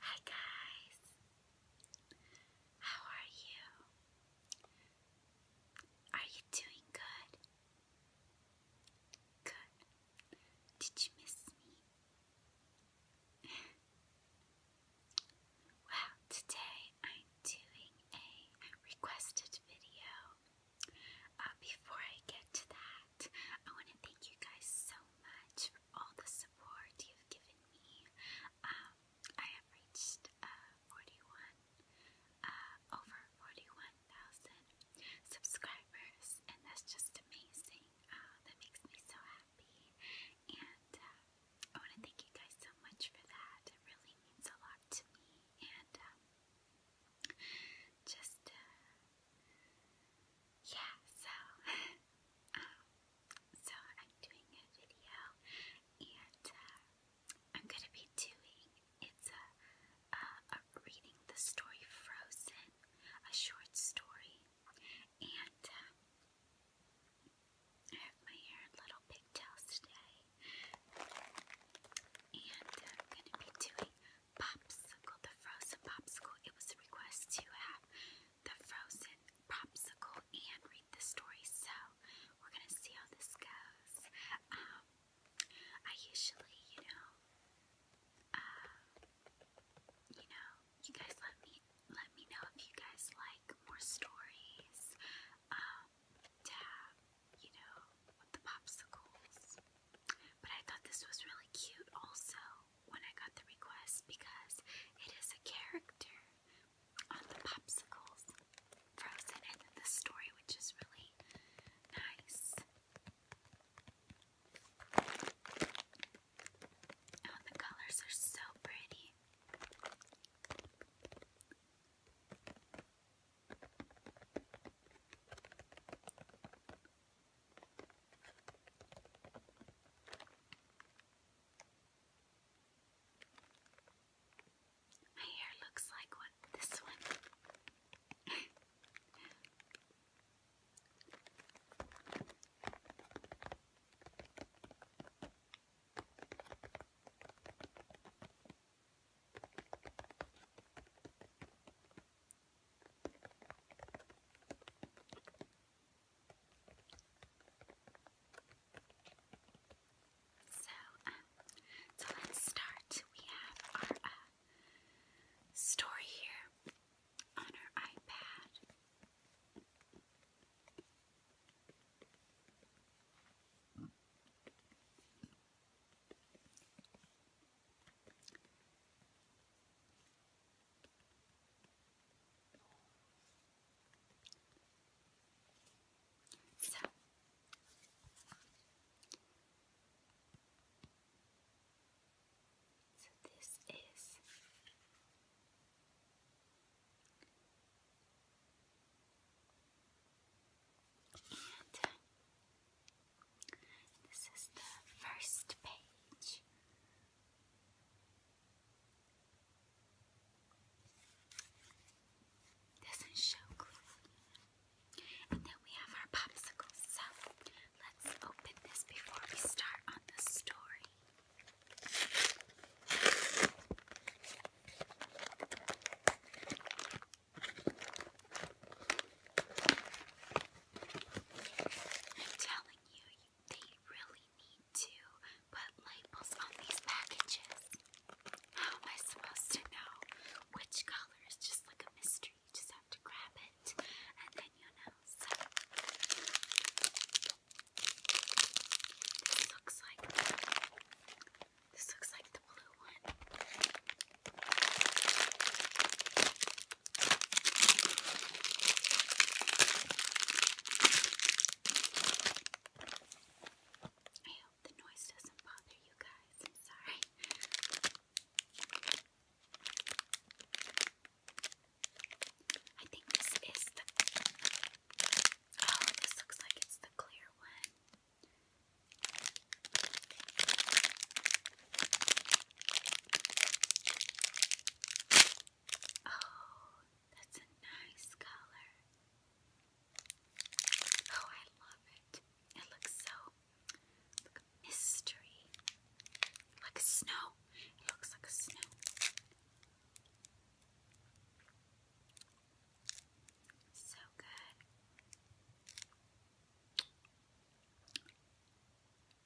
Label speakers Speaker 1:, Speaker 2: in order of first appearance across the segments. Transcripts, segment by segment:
Speaker 1: Hi guys, how are you? Are you doing good? Good. Did you miss me? well, today I'm doing a requested video. Uh, before I get to that, I want to thank you guys so much all the support you've given me. Um, I have reached uh, 41, uh, over 41,000 subscribers, and that's just amazing. Uh, that makes me so happy. And I want to thank you guys so much for that. It really means a lot to me. And um, just yeah, so um, so I'm doing a video and uh, I'm gonna be doing it's a, uh, a, reading the story Frozen, a short story, and uh, I have my hair in little pigtails today, and I'm gonna be doing popsicle, the frozen popsicle. It was a request to have the frozen popsicle and read the story, so we're gonna see how this goes. Um, I usually, you know, uh, you know, you guys let me let me know if you guys like more stories um, you know, the popsicles. But I thought this was really cute also when I got the request because it is a character on the popsicles frozen and the story, which is really nice. Oh, the colors are so pretty. My hair looks like what this one. So, um, so let's start. We have our uh, story here on our iPad. So so this is this is the first page. Doesn't show And then we have our popsicles. So let's open this before we start on the story. I'm telling you, they really need to put labels on these packages. How am I supposed to know which color is just like a mystery? You just have to grab it and then you know. this looks like this looks like the blue one. I hope the noise doesn't bother you guys. sorry. I think this is the. Oh, this looks like it's the clear one. Oh, that's a nice color. Oh, I love it. It looks so like Like snow. It looks like snow. So good.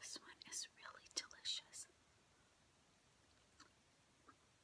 Speaker 1: This one is really delicious.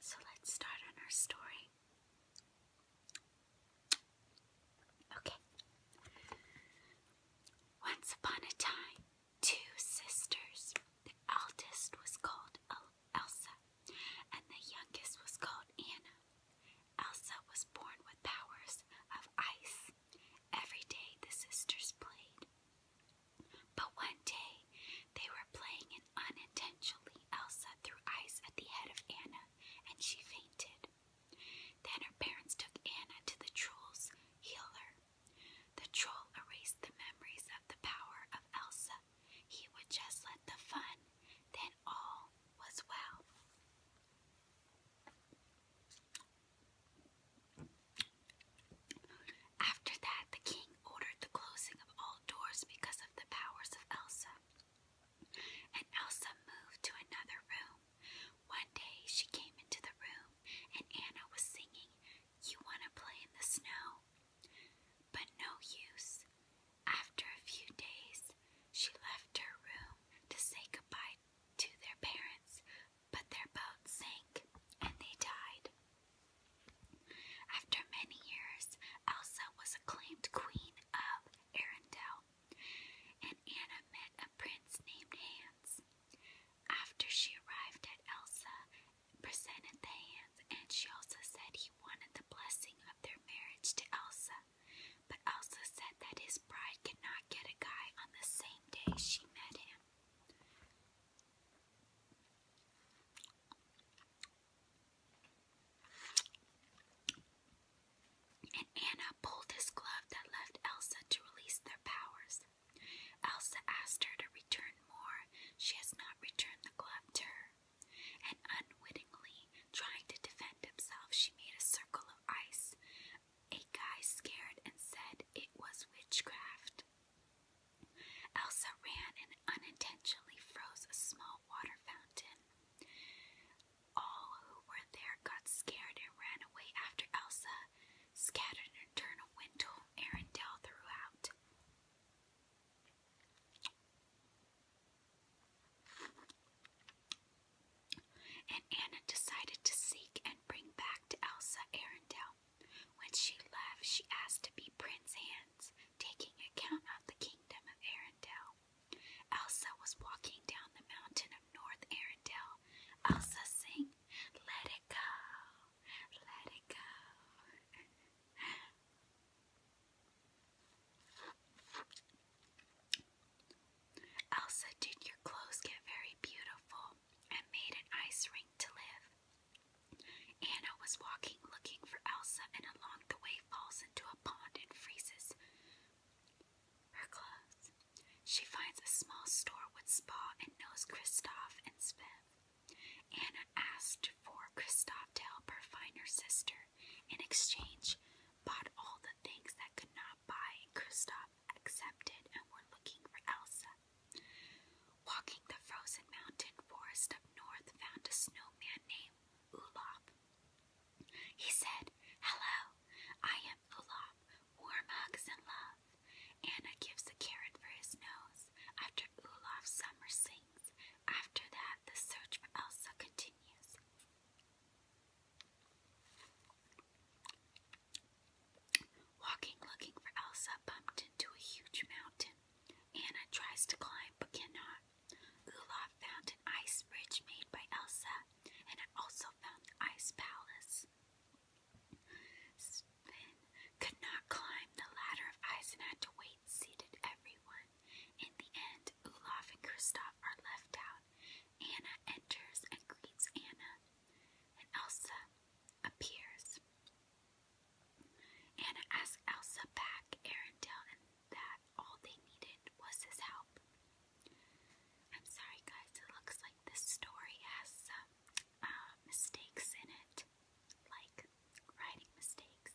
Speaker 1: So let's start on our story. Okay. Once upon a time, two sisters. The eldest was called Elsa, and the youngest was called Anna. Elsa was born with powers of ice. Every day the sisters played. But one day they were playing, and unintentionally Elsa threw ice at the head of Anna, and she fainted. Then her parents took Anna to the troll's healer. The troll erased the memories of the power of Elsa he would just let the fun, then all was well. After that, the king ordered the closing of all doors because of the powers of Elsa. And Elsa moved to another room. One day she came into the room and Anna was singing, You Wanna Play in the Snow? But no use. After a few days, she left her room to say goodbye to their parents, but their boat sank and they died. After many years, Elsa was acclaimed queen of Arendelle, and Anna met a prince named Hans. After she arrived at Elsa, presented the hands, and she also said he wanted the blessing of their marriage to Elsa, but Elsa said that his bride could not get a guy on the same day she met him. And Anna pulled his glove that left Elsa to release their powers. Elsa asked her to return more. She has not returned the glove to her and unwittingly trying to defend himself, she made a circle of ice. A guy scared and said it was witchcraft. Elsa ran and unintentionally froze a small water fountain. All who were there got scared and ran away after Elsa, scattered an eternal wind to Arendelle throughout. And Anna decided to seek and bring back to Elsa Arendelle. When she left, she asked to be Prince Hans, taking account of the kingdom of Arendelle. Elsa was walking down the mountain of North Arendelle. Elsa sing, Let it go, let it go. Elsa, did your clothes get very beautiful and made an ice rink to live? Anna was walking looking for Elsa, and along the way falls into a pond and freezes her clothes. She finds a small store with spa and knows Kristoff and Svev. Anna asked for Kristoff to help her find her sister. In exchange, bought all the things that could not buy, and Kristoff accepted and were looking for Elsa. Walking the frozen mountain forest up north, found a snowman named Olaf. He said, Hello, I am Olaf, warm hugs and love. Anna gives a carrot for his nose. After Olaf summer sings, after that, the search for Elsa continues. Walking looking for Elsa bumped into a huge mountain. Anna tries to climb but cannot. Olaf found an ice bridge made by Elsa, and also found the ice palace. Sven could not climb the ladder of ice and had to wait seated everyone. In the end, Olaf and Kristoff are left out. Anna enters and greets Anna, and Elsa appears. Anna asks Elsa back Arendelle and that all they needed was his help. I'm sorry guys, it looks like this story has some uh, mistakes in it like writing mistakes.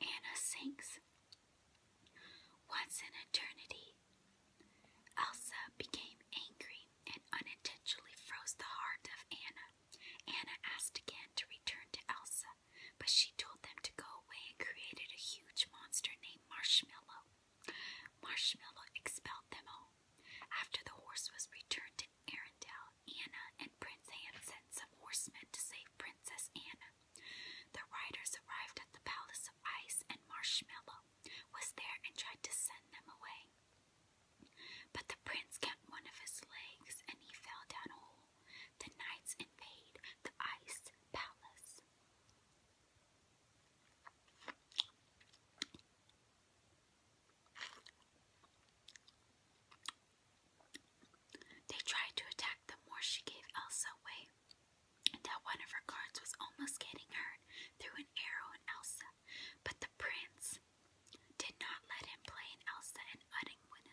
Speaker 1: Anna sinks. Once in Eternity. Elsa became angry and unintentionally froze the heart of Anna. Anna asked again to return to Elsa, but she told them to go away and created a huge monster named Marshmallow. Marshmallow expelled them all. After the horse was returned to Arendelle, Anna and Prince Anne sent some horsemen to save Princess Anna. The riders arrived at the Palace of Ice, and Marshmallow was there and tried to send them away. But the prince kept one of his legs, and he fell down a whole. The knights invaded the Ice Palace. They tried to attack the more she gave Elsa away, until one of her cards was almost getting hurt through an arrow in Elsa, but the prince did not let him play in Elsa and unwittingly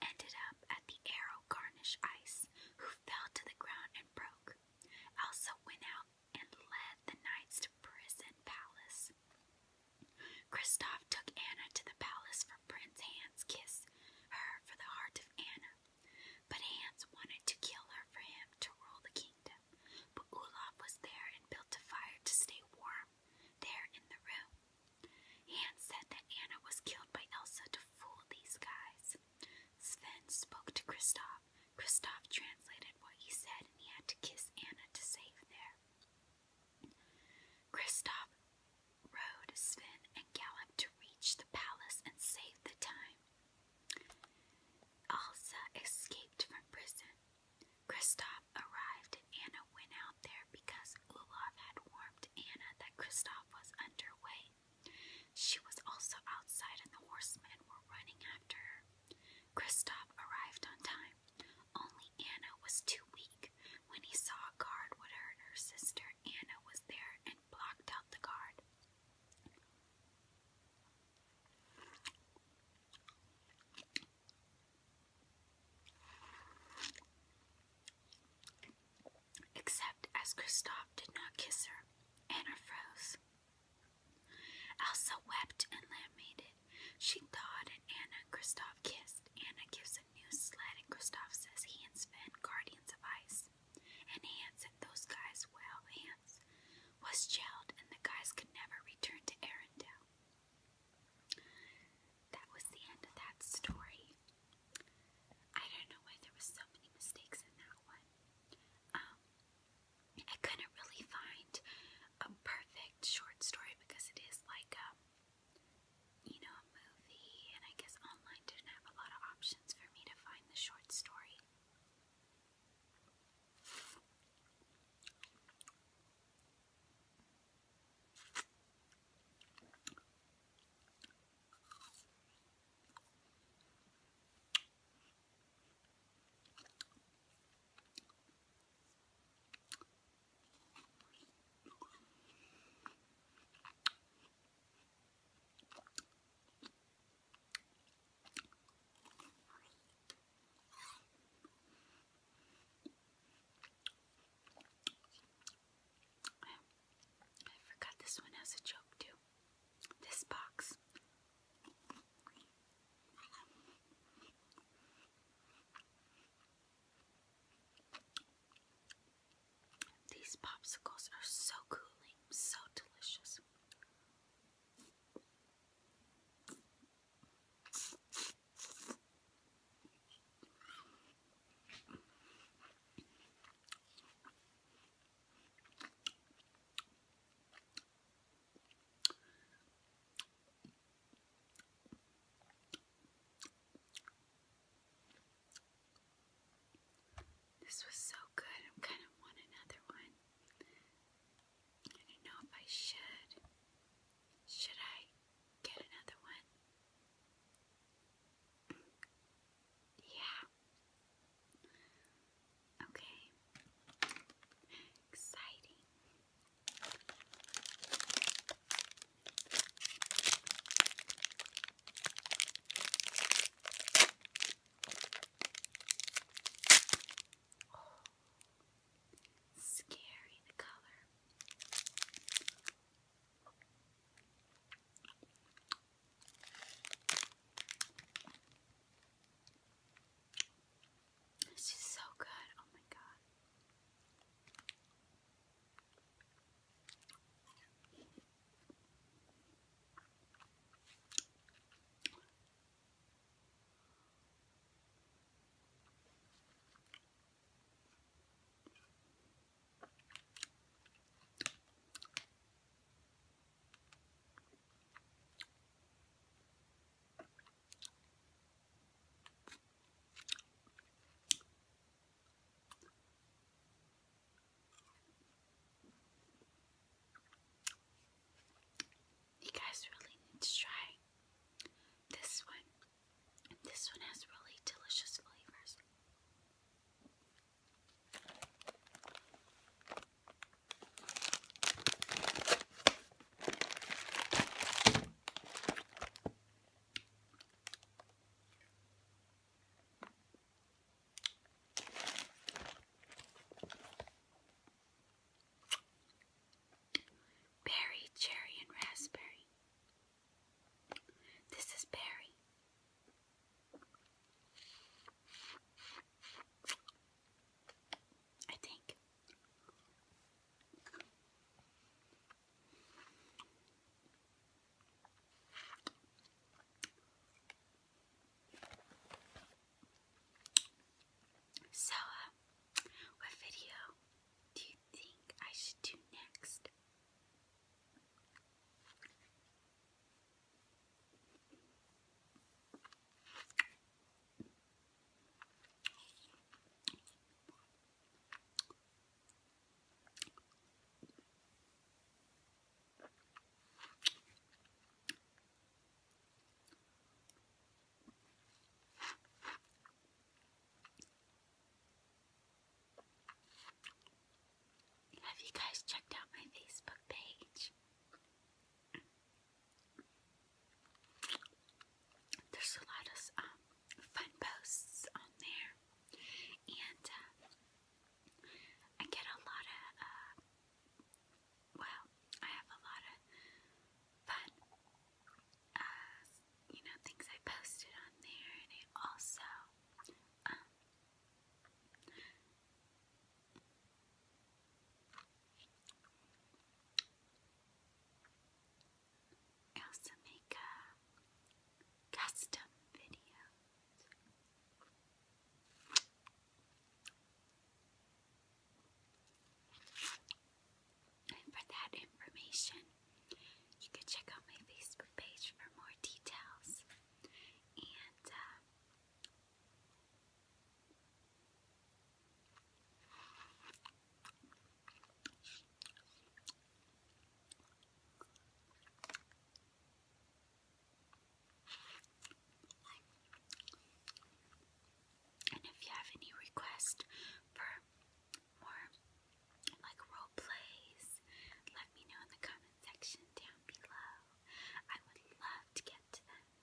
Speaker 1: ended up at the arrow garnish ice, who fell to the ground and broke. Elsa went out and led the knights to prison palace. Kristoff took Anna to the palace for Prince Hans' kiss, her for the heart of Anna. But Hans wanted to kill her for him to rule the kingdom. But Olaf was there and built a fire to stay warm there in the room. Hans said that Anna was killed by Elsa to fool these guys. Sven spoke to Kristoff, Kristoff translated what he said, and he had to kiss Anna to save there. Kristoff rode Sven and galloped to reach the palace and save the time. Elsa escaped from prison. Kristoff arrived, and Anna went out there because Olaf had warned Anna that Kristoff was underway. She was also outside, and the horsemen were running after her. Kristoff arrived on time. Only Anna was too weak. When he saw a guard would hurt her sister, Anna was there and blocked out the guard. Except as Kristoff did not kiss her, Anna froze. Elsa wept and lamented. She thawed and Anna and Kristoff kissed. Anna gives a new sled and Kristoff says he and Sven, guardians of ice. And Hans and those guys, well, Hans was jailed and the guys could never return to Arendelle. That was the end of that story. I don't know why there was so many mistakes in that one. Um, I couldn't really find a perfect short story because it is like um, you know, a movie, and I guess online didn't have a lot of options for me to find the short story. I forgot this one has a joke too. This box. These popsicles are so cooling, so delicious. This was so good. I kind of want another one. I don't know if I should. Should I get another one? Yeah. Okay. Exciting. scary the color. This is so good. Oh my god. You guys really need to try this one. This one has really delicious flavors. Berry, cherry, and raspberry. This is berry. I think. So, uh, what video do you think I should do next? Have you guys checked out my Facebook page? There's a lot of um, fun posts on there, and uh, I get a lot of, uh, well, I have a lot of fun, uh, you know, things I posted on there, and I also, um, also make custom video. And for that information, you can check out my Facebook page for more details. And uh, and if you have any request for more like role plays, let me know in the comment section down below. I would love to get to them.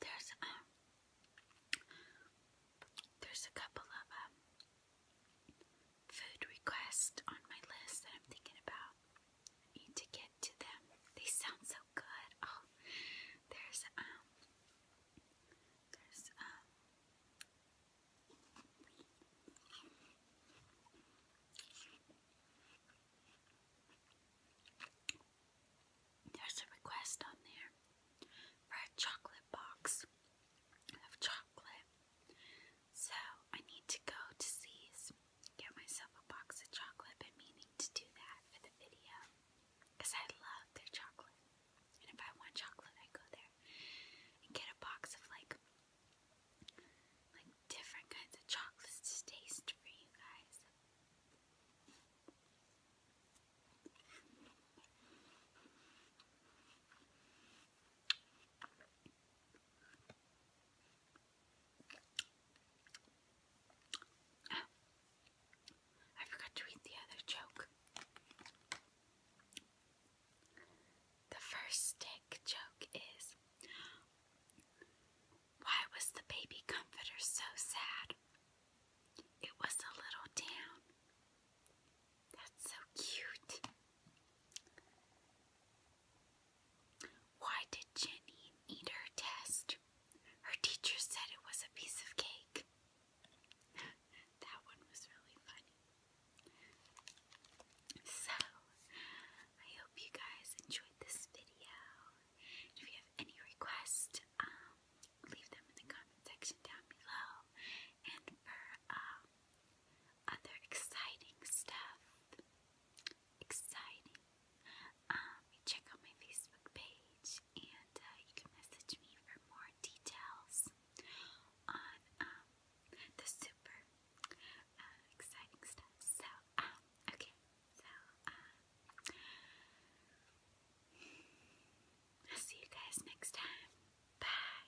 Speaker 1: There's um, there's a couple of um, food requests on my list that I'm thinking about. need to get to them. They sound so good. Oh, there's um, there's um, there's a request on there for a chocolate box of chocolate. So I need to go to C's, get myself a box of chocolate. Been meaning to do that for the video because I love their chocolate. And if I want chocolate, I go there and get a box of like like different kinds of chocolates to taste for you guys. I forgot to read the other joke. The first stick joke is Why was the baby comforter so sad? It was a little down. That's so cute. Why did Jenny eat her test? Her teacher said it was a piece of cake. that one was really funny. So, I hope you guys enjoyed this video. If you have any requests, um, leave them in the comment section down below. And for um, other exciting stuff. Exciting. Um, check out my Facebook page and uh, you can message me for more details on um, the super uh, exciting stuff. So, um, okay. So, I'll see you guys next time. Bye.